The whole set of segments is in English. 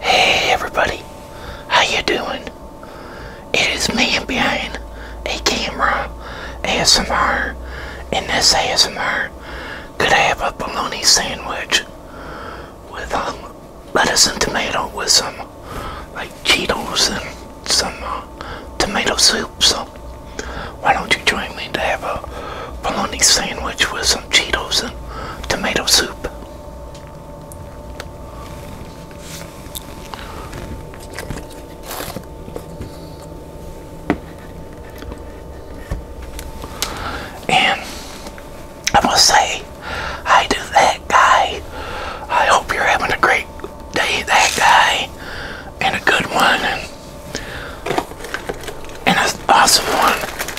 Hey everybody, how you doing? It is me behind a camera ASMR and this ASMR could have a bologna sandwich with um, lettuce and tomato with some like Cheetos and some uh, tomato soup so why don't you join me to have a bologna sandwich with some Cheetos and? tomato soup. And I must say, I do that guy. I hope you're having a great day, that guy, and a good one, and, and an awesome one.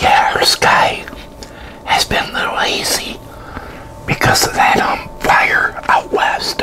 Yeah, our sky has been a little hazy because of that um, fire out west.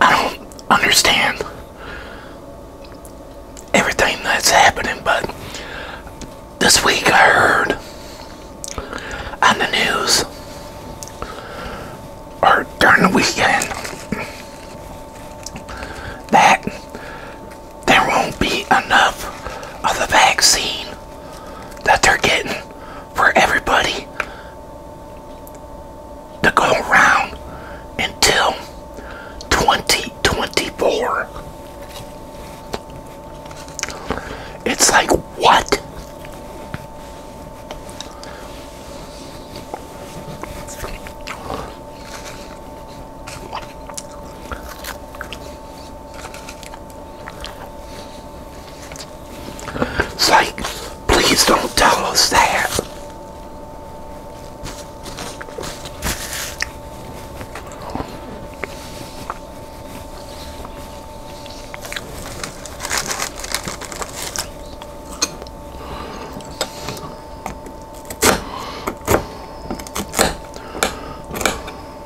I don't understand everything that's happening, but this week I heard on the news or during the weekend that there won't be enough of the vaccine that they're getting for everybody to go around until 2024. It's like, what? It's like, please don't tell us that.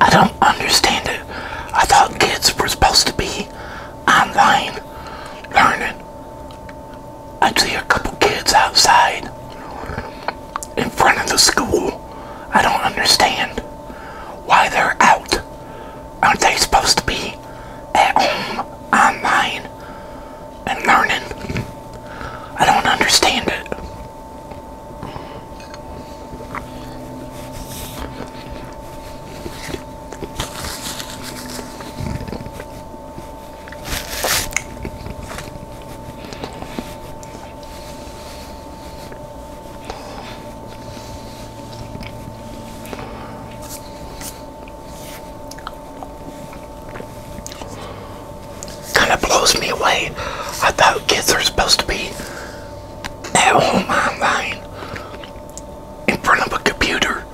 I don't understand it. I thought kids were supposed to be online learning. I see a couple kids outside in front of the school. I don't understand why they're out. Aren't they supposed to be at home online and learning? I don't understand it. Kind of blows me away. I thought kids are supposed to be at home online in front of a computer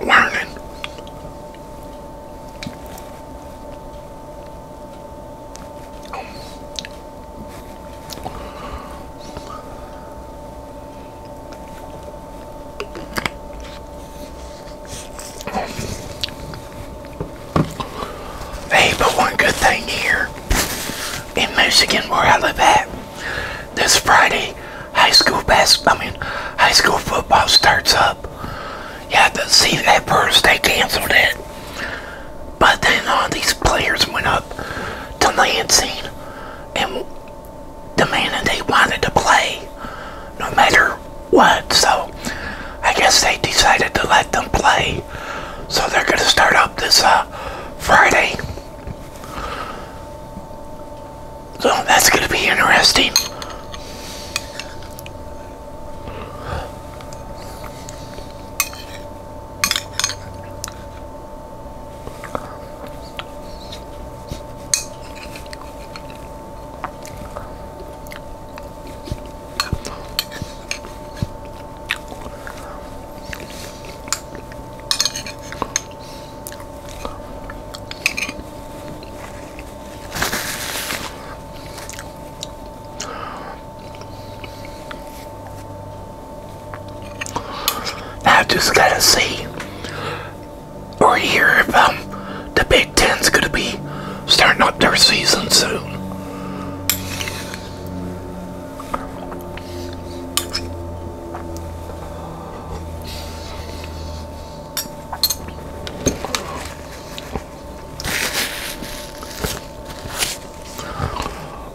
learning. Hey, but one good thing here in Michigan, where I live at, this Friday, high school basketball— I mean, high school football starts up up. Yeah, but see, at first they canceled it. But then all uh, these players went up to Lansing and the demanded they wanted to play no matter what. So I guess they decided to let them play. So they're going to start up this uh, Friday. So oh, that's going to be interesting. I just gotta see or hear if um, the Big Ten's gonna be starting up their season soon.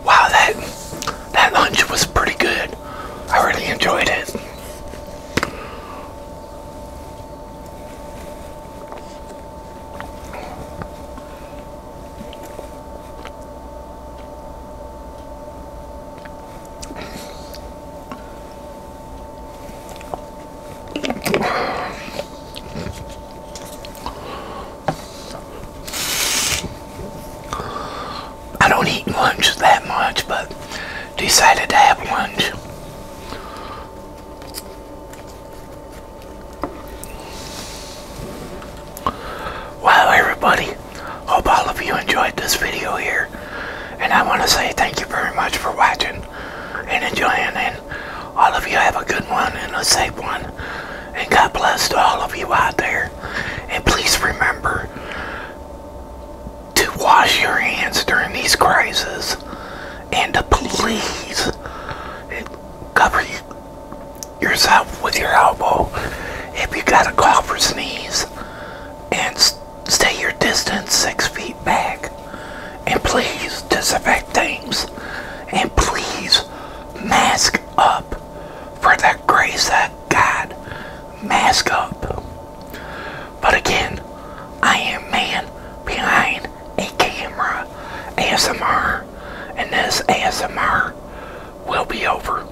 Wow, that that lunch was pretty good. I really enjoyed it. I don't eat lunch that much, but decided to have lunch. Wow, everybody. Hope all of you enjoyed this video here. And I want to say thank you very much for watching and enjoying. And all of you have a good one and a safe one. And God bless to all of you out there. And please remember to wash your hands during these crises. And to please cover yourself with your elbow if you got a cough or sneeze. And stay your distance six feet back. And please disinfect things. And please mask up. For the grace of God, mask up. But again, I am man behind a camera ASMR. And this ASMR will be over.